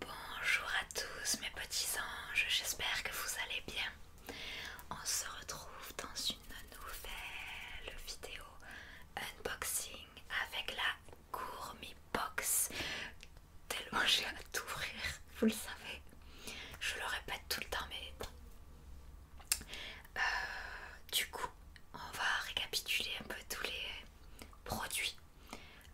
Bonjour à tous mes petits anges, j'espère que vous allez bien. On se retrouve dans une nouvelle vidéo unboxing avec la Gourmet Box. Tellement j'ai hâte d'ouvrir, vous le savez. Je le répète tout le temps, mais euh, du coup, on va récapituler un peu tous les Produit.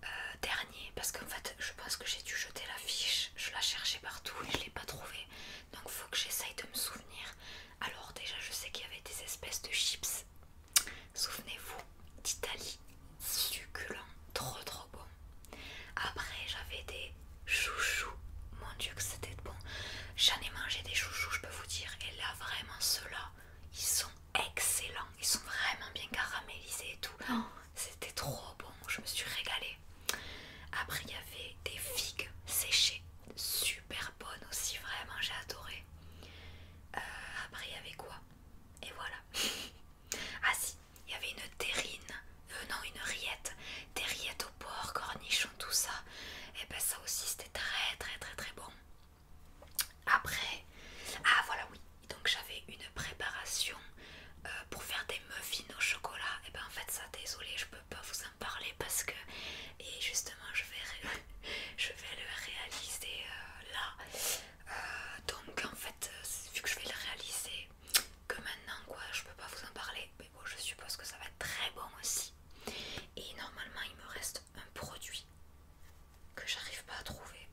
Euh, dernier, parce qu'en fait, je pense que j'ai dû jeter la fiche. Je la cherchais partout et je l'ai pas trouvée. Donc, faut que j'essaye de me souvenir. Alors, déjà, je sais qu'il y avait des espèces de chips. Souvenez-vous d'Italie. Succulent. Trop, trop bon. Après, j'avais des chouchous. Mon dieu, que c'était bon. J'en ai mangé des chouchous, je peux vous dire. Et là, vraiment, ceux-là, ils sont Excellent, Ils sont vraiment bien caramélisés et tout. Oh. C'était trop bon. Je me suis régalée. Après, il y avait des figues séchées. Super bonnes aussi. Vraiment, j'ai adoré. Euh, après, il y avait quoi Et voilà. ah si, il y avait une terrine. venant non, une rillette. Des rillettes au porc, cornichons, tout ça. Et eh ben ça aussi, c'était très très très très bon. Après, ah voilà oui, donc j'avais une préparation euh, pour faire des muffins au chocolat. Et eh ben en fait ça, désolé, je peux pas vous en parler parce que et justement je vais le réaliser euh, là. Euh, donc en fait vu que je vais le réaliser que maintenant quoi, je peux pas vous en parler. Mais bon, je suppose que ça va être très bon aussi. Et normalement il me reste un produit que j'arrive pas à trouver.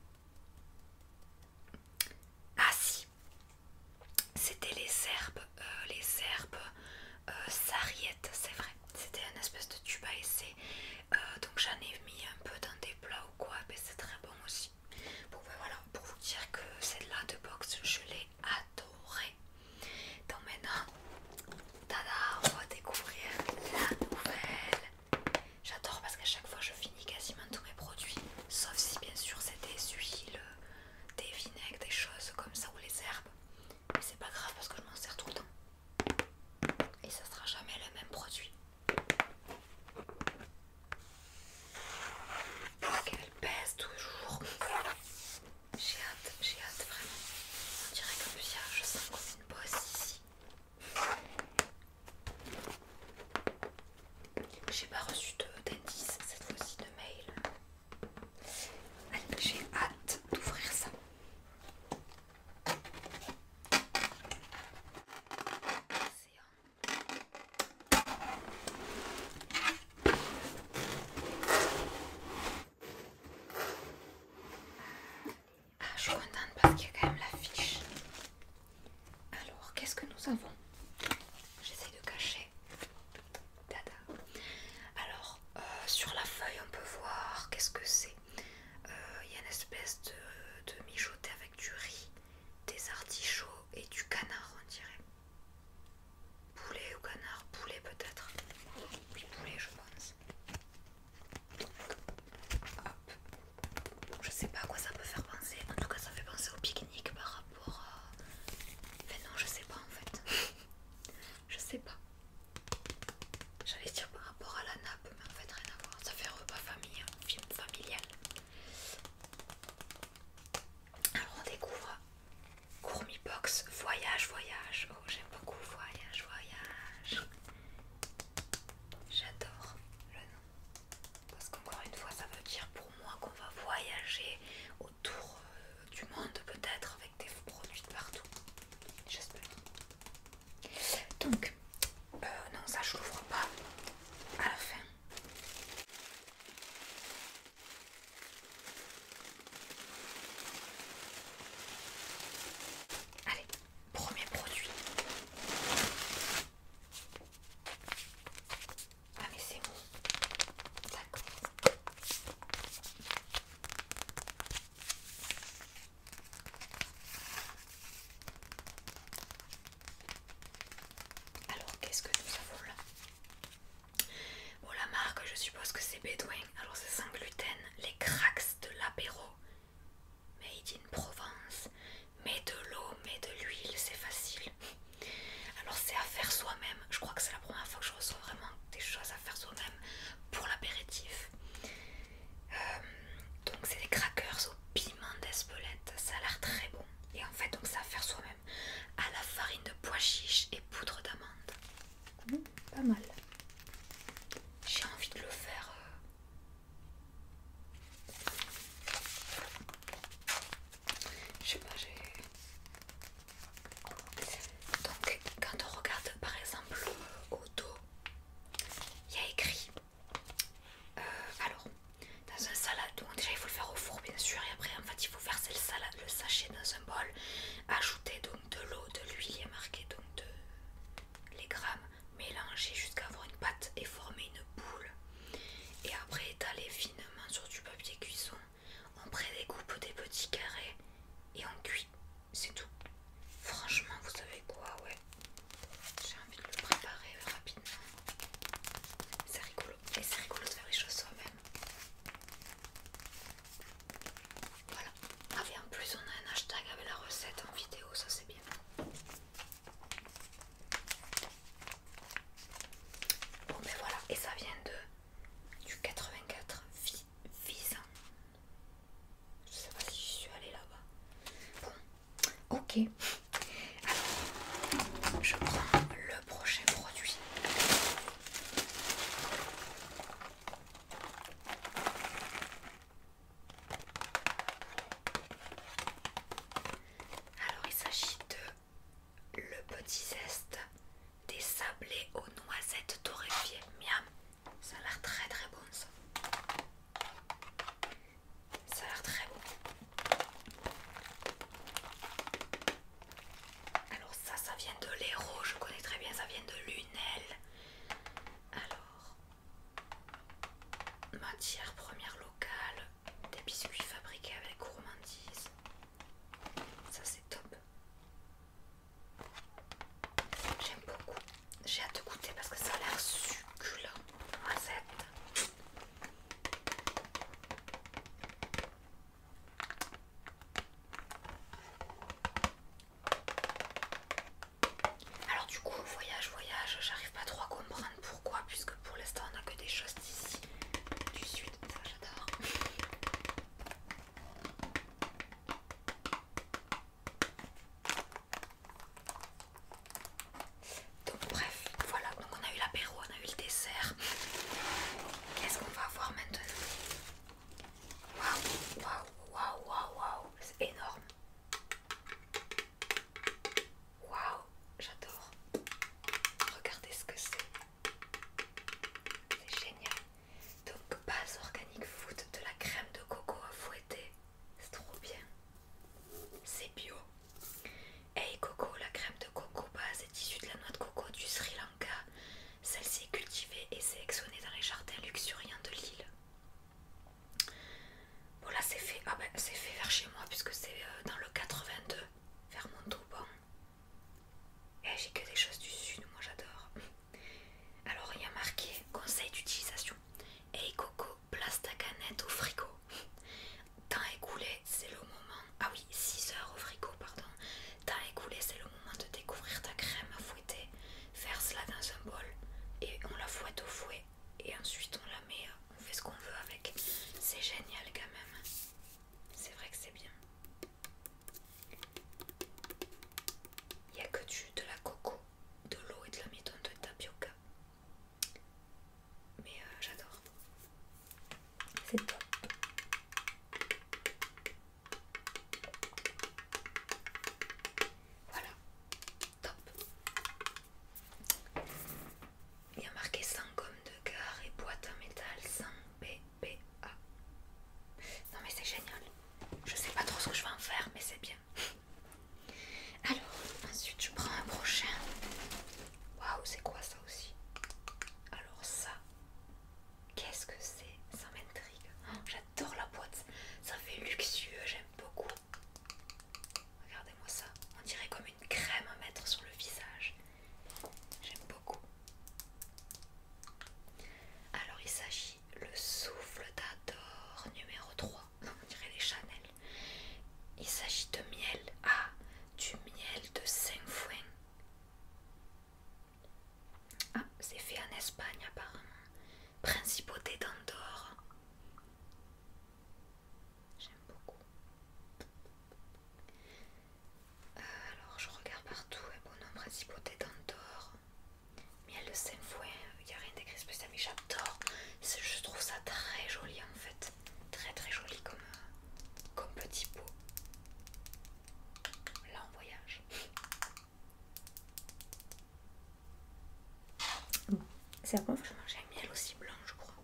Ah si, c'était les herbes, euh, les herbes euh, c'est vrai. C'était un espèce de tuba euh, donc j'en ai mis un peu dans des plats ou quoi, mais c'est très bon aussi. Ben voilà, pour vous dire que celle-là de boxe, je l'ai adorée. Donc maintenant, Tada, on va découvrir la nouvelle. J'adore parce qu'à chaque fois je finis quasiment tous mes produits, sauf si bien sûr c'est des huiles, des vinaigres, des choses comme ça ou les herbes. Mais c'est pas grave parce que je m'en sers tout le temps. Et ça sera jamais le même produit. Qu'elle pèse toujours. J'ai hâte, j'ai hâte vraiment. On dirait que je sens j'ai pas reçu d'indice cette fois-ci de mail. Allez, j'ai hâte d'ouvrir ça. Ah, je suis contente parce qu'il y a quand même la Alors, qu'est-ce que nous avons J'essaie de cacher. Alors, euh, sur la feuille, on peut voir qu'est-ce que c'est. Euh, il y a une espèce de, de mijoté avec du riz, des artichauts et du canard, on dirait. Poulet ou canard Poulet peut-être. Oui, poulet, je pense. Je sais pas à quoi ça peut faire penser. En tout cas, ça fait penser au pique-nique par rapport à. Mais non, je sais pas en fait. je sais pas. J'allais dire par rapport à la nappe, mais en fait, rien à voir. Ça fait repas famille, hein, film familial. Alors, on découvre Gourmibox, Box Voyage, voyage. J'aime beaucoup voyage, voyage. J'adore le nom. Parce qu'encore une fois, ça veut dire pour moi qu'on va voyager autour euh, du monde peut-être avec des produits de partout. J'espère. Donc, euh, non, ça je l'ouvre pas à la fin. Allez, premier produit. Ah mais c'est bon. D'accord. Alors qu'est-ce que nous avons là Bon, la marque, je suppose que c'est Bedouin. Alors, c'est sans gluten. Les cracks de l'apéro. Made in Provence. mais de l'eau, mais de l'huile, c'est facile. Alors, c'est à faire soi-même. Je crois que c'est la première fois que je reçois vraiment des choses à faire soi-même pour l'apéritif. Euh, donc, c'est des crackers au piment d'Espelette. Ça a l'air très bon. Et en fait, donc, c'est à faire soi-même à la farine de pois chiche et poudre d'amande. Mmh pas mal. J'ai envie de le faire. Euh. Je sais pas, j'ai. Donc, quand on regarde par exemple au euh, dos, il y a écrit. Euh, alors, dans un salade, déjà il faut le faire au four bien sûr, et après en fait il faut verser le, salade, le sachet dans un bol, ajouter d'eau de l'eau, de l'huile, il y a marqué donc de, les grammes mélanger jusqu'à avoir une pâte et former une boule. Et après étaler finement sur du papier cuisson, on prédécoupe des petits carrés et on cuit. C'est tout. Franchement, vous savez quoi, ouais. J'ai envie de le préparer rapidement. C'est rigolo. Et c'est rigolo de faire les choses soi-même. Voilà. en plus on a un hashtag avec la recette en vidéo, ça c'est bien. Bon ben voilà, et ça vient de du 84 visant. Je sais pas si je suis allée là-bas. Bon, ok. Alors, je prends le prochain produit. Alors il s'agit de le petit zeste des sablés aux noisettes torréfiées. Miam, ça a l'air très très bon ça. Ça a l'air très bon. Alors ça, ça vient de l'Hérault, je connais très bien, ça vient de Lunel. Alors, matière première locale, des biscuits fabriqués avec gourmandise. Ça c'est top. J'aime beaucoup. J'ai hâte de goûter parce que ça a l'air succulent. Noisette. Alors du coup voyage voyage j'arrive pas trop à comprendre pourquoi puisque pour l'instant on a que des choses d'ici du sud ça j'adore donc bref voilà donc on a eu l'apéro on a eu le dessert Qu'est-ce qu'on va voir maintenant Waouh, waouh, waouh, waouh, c'est énorme. Waouh, j'adore. Regardez ce que c'est. C'est génial. Donc base organique food de la crème de coco à fouetter. C'est trop bien. C'est bio. Hey coco, la crème de coco base est issu de la noix de coco du Sri Lanka. Celle-ci est cultivée et sélectionnée dans les jardins luxuriants de l'île. Voilà, c'est fait. Ah ben, c'est fait vers chez moi puisque c'est euh, dans le 82, vers Montauban. Et eh, j'ai que des choses du sud, moi j'adore. Alors, il y a marqué conseil d'utilisation. Hey eh, Coco, place ta canette au frigo. Temps écoulé, c'est le moment ah oui, 6 heures au frigo, pardon. T'as écoulé, c'est le moment de découvrir ta crème à fouetter. faire cela dans un bol et on la fouette au fouet. Et ensuite on la met, on fait ce qu'on veut avec. C'est génial quand même. C'est vrai que c'est bien. Il n'y a que du de la coco, de l'eau et de la mitoune de tapioca. Mais euh, j'adore. C'est top. Voilà, top. Il y a marqué 100 gommes de gare et boîte en métal 100 BPA. Non mais c'est génial. Je sais pas trop ce que je vais en faire, mais c'est bien. Alors, ensuite je prends un prochain. Waouh, c'est quoi ça aussi Alors ça, Qu'est-ce que c'est Ça m'intrigue. Oh, j'adore la boîte. Ça fait luxueux, j'aime beaucoup. Regardez-moi ça. On dirait comme une crème à mettre sur le visage. J'aime beaucoup. Alors il s'agit le souffle d'Adore numéro 3. On dirait les Chanel. Il s'agit de miel. Ah, du miel de Saint-Fouin. Ah, c'est fait en Espagne apparemment. Principauté d'Andorre. J'aime beaucoup. Euh, alors je regarde partout. bon hein, nom Principauté d'Andorre. Miel de Saint-Fouin, il n'y a rien d'écrit spécial, mais j'adore. Je trouve ça très joli en fait très très joli comme, petit pot. Là en voyage. c'est un peu un miel aussi blanc, je crois.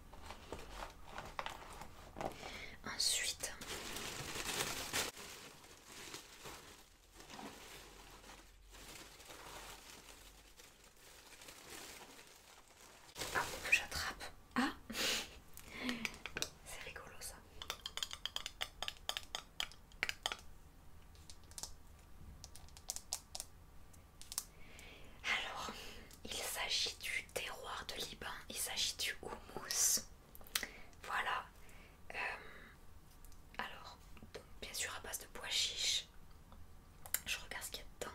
Ensuite, ah, j'attrape. Ah C'est rigolo ça. Alors, il s'agit du terroir de Liban, il s'agit du houmous. Voilà. Euh, alors, bien sûr à base de pois chiche. Je regarde ce qu'il y a dedans.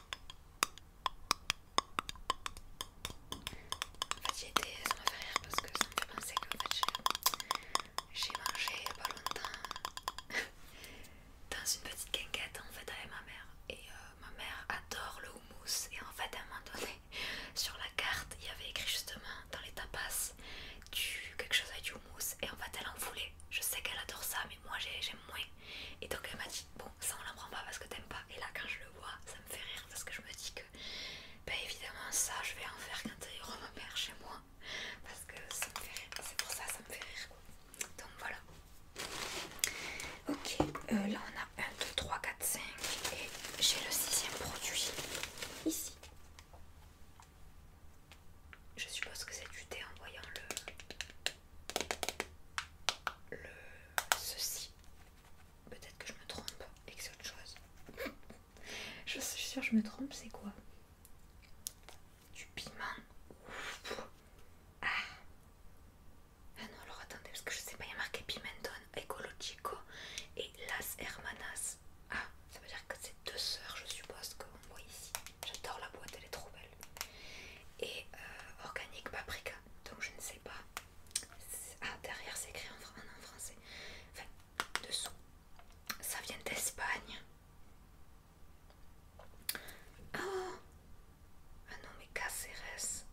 En fait, ça m'a fait rire parce que ça me fait penser que en fait, j'ai mangé il n'y a pas longtemps dans une petite quinquette en fait avec ma mère. Et euh, ma mère adore le houmous. Et en fait, à un moment donné, sur la carte, il y avait écrit justement dans les tapas du, quelque chose avec du houmous. Et en fait, elle en voulait. Je sais qu'elle adore ça, mais moi j'aime moins. Et donc, elle m'a dit ça on l'apprend pas parce que t'aimes pas et là quand je le vois ça me fait rire parce que je me dis que bah évidemment ça je vais en faire quand il repère chez moi parce que ça me fait rire, c'est pour ça ça me fait rire quoi. donc voilà ok euh, là on a 1, 2, 3, 4, 5 et j'ai le sixième produit ici je suppose que c'est du thé en voyant le, le ceci. Peut-être que je me trompe et que c'est autre chose. je suis sûre que je me trompe, c'est quoi Du piment. Ah. ah. non, alors attendez, parce que je sais pas, il y a marqué Pimenton Ecologico et Las Hermanas. Ah, ça veut dire que c'est deux sœurs, je suppose, qu'on voit ici. J'adore la boîte, elle est trop belle. Et euh, organique paprika. Donc je ne sais pas. Ah, derrière c'est écrit en, français. Enfin, dessous. Ça vient d'Espagne. Ah, ah non, mais Caceres.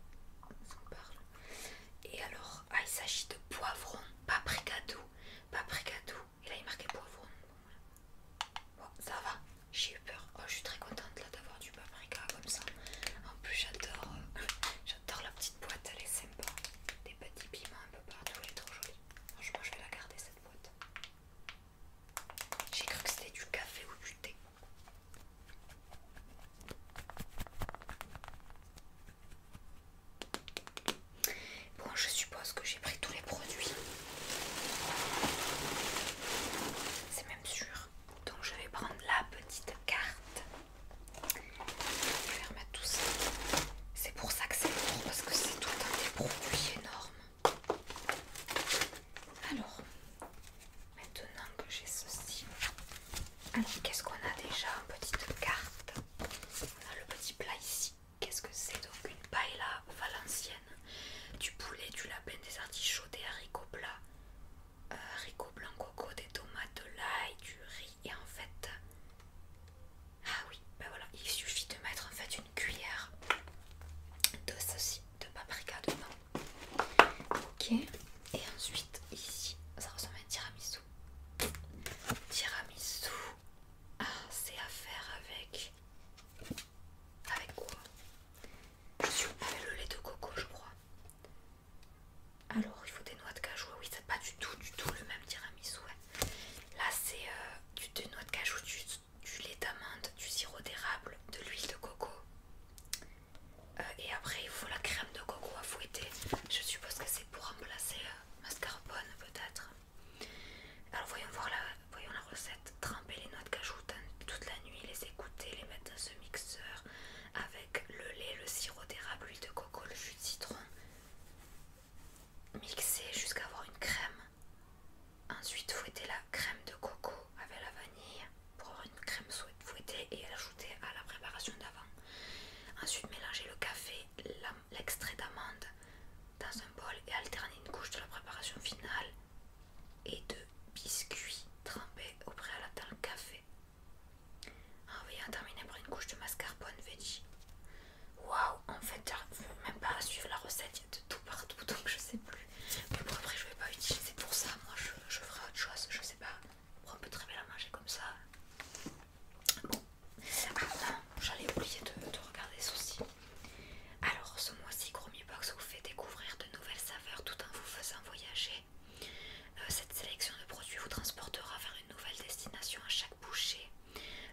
parle. Et alors, ah, il s'agit de poivron, paprika doux. Paprika doux. Et là, il marquait poivron. bon ça va. J'ai eu peur. Oh, je suis très contente là d'avoir du paprika comme ça. En plus, j'adore euh, J'adore la petite boîte, elle est sympa. Des petits piments un peu partout, elle est trop jolie. Franchement, je vais la garder cette boîte. J'ai cru que c'était du café ou du thé. Bon, je suppose que j'ai pris tous les produits. C'est même sûr. Donc je vais prendre la petite carte. Je vais remettre tout ça. C'est pour ça que c'est lourd parce que c'est tout un des produits énormes. Alors, maintenant que j'ai ceci, qu'est-ce qu'on a déjà Une petite carte. On a le petit plat ici. Qu'est-ce que c'est Donc une paella valencienne du poulet, du lapin, des artichauts, des haricots plats, euh, haricots blancs coco, des tomates, de l'ail, du riz et en fait... Ah oui, ben voilà, il suffit de mettre en fait une cuillère de ceci, de paprika dedans. Ok, et ensuite ici, ça ressemble à un tiramisu. Tiramisu, ah c'est à faire avec avec quoi Je suis avec le lait de coco, je crois. Alors, il faut des noix de cajou. Ah oui, c'est pas du tout, du tout le même tiramisu. Là, c'est euh, des noix de cajou, du, lait d'amande, du sirop d'érable, de l'huile de coco. Euh, et après, il faut la crème de coco à fouetter. Je suppose que c'est pour remplacer euh, mascarpone, peut-être. Alors, voyons voir la, voyons la recette. Tremper les noix de cajou toute la nuit, les écouter, les mettre dans ce mixeur avec le lait, le sirop d'érable, l'huile de coco, le jus de citron. Mixer jusqu'à avoir une crème. Ensuite, fouetter la crème de coco avec la vanille pour avoir une crème fouettée et l'ajouter à la préparation d'avant. Ensuite, mélanger le café, l'extrait d'amande dans un bol et alterner une couche de la préparation finale et de biscuits trempés au préalable dans le café. En ah veillant terminer par une couche de mascarpone veggie. Waouh, en fait, même pas à suivre la recette, il y a de tout partout donc je sais plus. Mais bon, après, je vais pas utiliser pour ça, moi je, ferai autre chose, je sais pas. On peut très bien la manger comme ça. Bon, ah j'allais oublier de, de regarder ceci. Alors ce mois-ci, Gourmet Box vous fait découvrir de nouvelles saveurs tout en vous faisant voyager. Euh, cette sélection de produits vous transportera vers une nouvelle destination à chaque bouchée.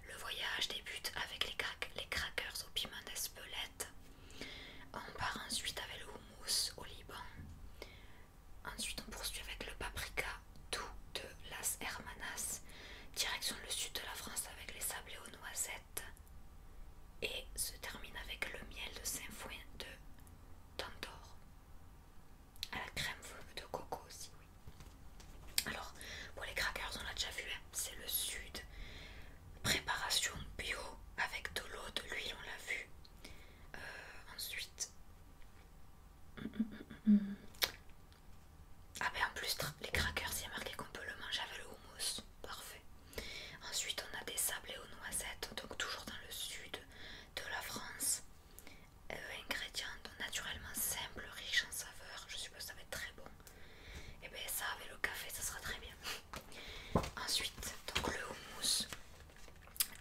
Le voyage débute avec les, crackers au piment d'Espelette. On part ensuite avec le houmous au Liban. Ensuite, on poursuit avec le paprika doux de Las Hermanas. Direction le sud de la France avec les sablés aux noisettes et se termine avec le miel de Saint-Fouin de Tantor. À la crème de coco aussi, oui. Alors, pour les crackers, on l'a déjà vu, hein, c'est le sud. Préparation bio avec de l'eau, de l'huile, on l'a vu. Euh, ensuite... Ah ben en plus, les crackers, il y a marqué qu'on peut le manger avec le houmous parfait. Ensuite, on a des sablés aux noisettes, donc toujours dans le sud de la France. Euh, ingrédients naturellement simples, riches en saveurs. Je suppose que ça va être très bon. Et eh bien, ça avec le café, ça sera très bien. Ensuite, donc le houmous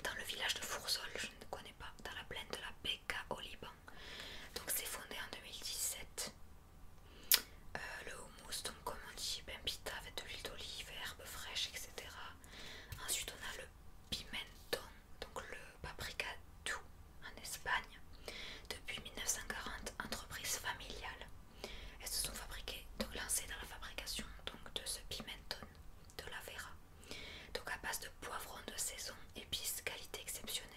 dans le village de Foursol, je ne connais pas, dans la plaine de la Bekaa au Liban. Donc, c'est fondé en 2017. Euh, le hummus, donc comme on dit, ben pita avec de l'huile d'olive, herbes fraîches, etc. Ensuite on a le pimenton, donc le paprika doux en Espagne. Depuis 1940, entreprise familiale. Elles se sont fabriquées, donc lancées dans la fabrication donc, de ce pimenton de la Vera. Donc à base de poivrons de saison, épices, qualité exceptionnelle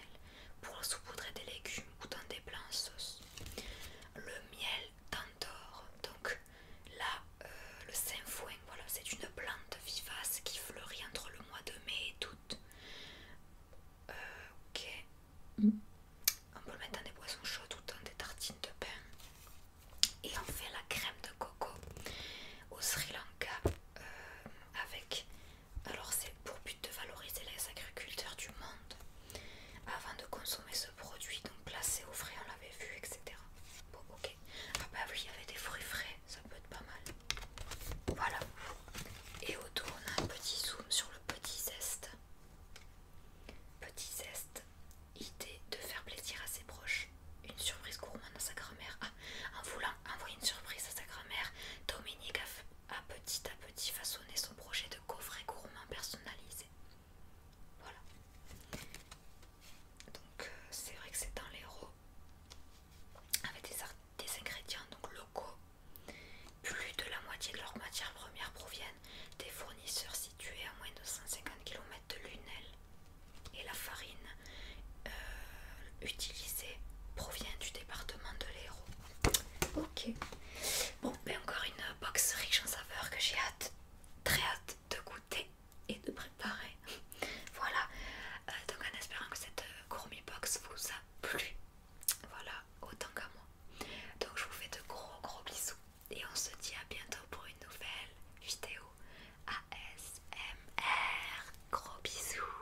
pour saupoudrer des légumes ou dans des plats en sauce. Le miel d'Andorre, donc là, euh, le sainfoin, voilà, c'est une plante vivace qui fleurit entre le mois de mai et d'août. Euh, ok, mm. on peut le mettre dans des boissons chaudes ou dans des tartines de pain. Et on fait la crème de coco au Sri Lanka euh, avec alors c'est pour but de valoriser les agriculteurs du monde avant de consommer ce produit, donc placé au frais, on l'avait vu, etc. Bon, ok. Ah bah oui, il y avait des fruits frais, ça peut être pas mal. Voilà. Et autour, on a un petit zoom sur le petit zeste. Petit zeste, idée de faire plaisir à ses proches. Une surprise gourmande à sa grand-mère. Ah, en voulant envoyer une surprise à sa grand-mère, Dominique a a petit à petit façonner son projet de coffret gourmand personnalisé. Voilà. Donc euh, c'est vrai que c'est dans l'Hérault avec des, ingrédients donc locaux. Plus de la moitié de leurs matières premières proviennent des fournisseurs situés à moins de 150 km de Lunel. Et la farine euh, utilisée provient du département de l'Hérault. Ok. Bon, mais ben encore une box riche en saveurs que j'ai hâte, très hâte de goûter et de préparer. voilà. Euh, donc en espérant que cette euh, gourmet box vous a plu. Voilà, autant qu'à moi. Donc je vous fais de gros gros bisous et on se dit à bientôt pour une nouvelle vidéo ASMR. Gros bisous.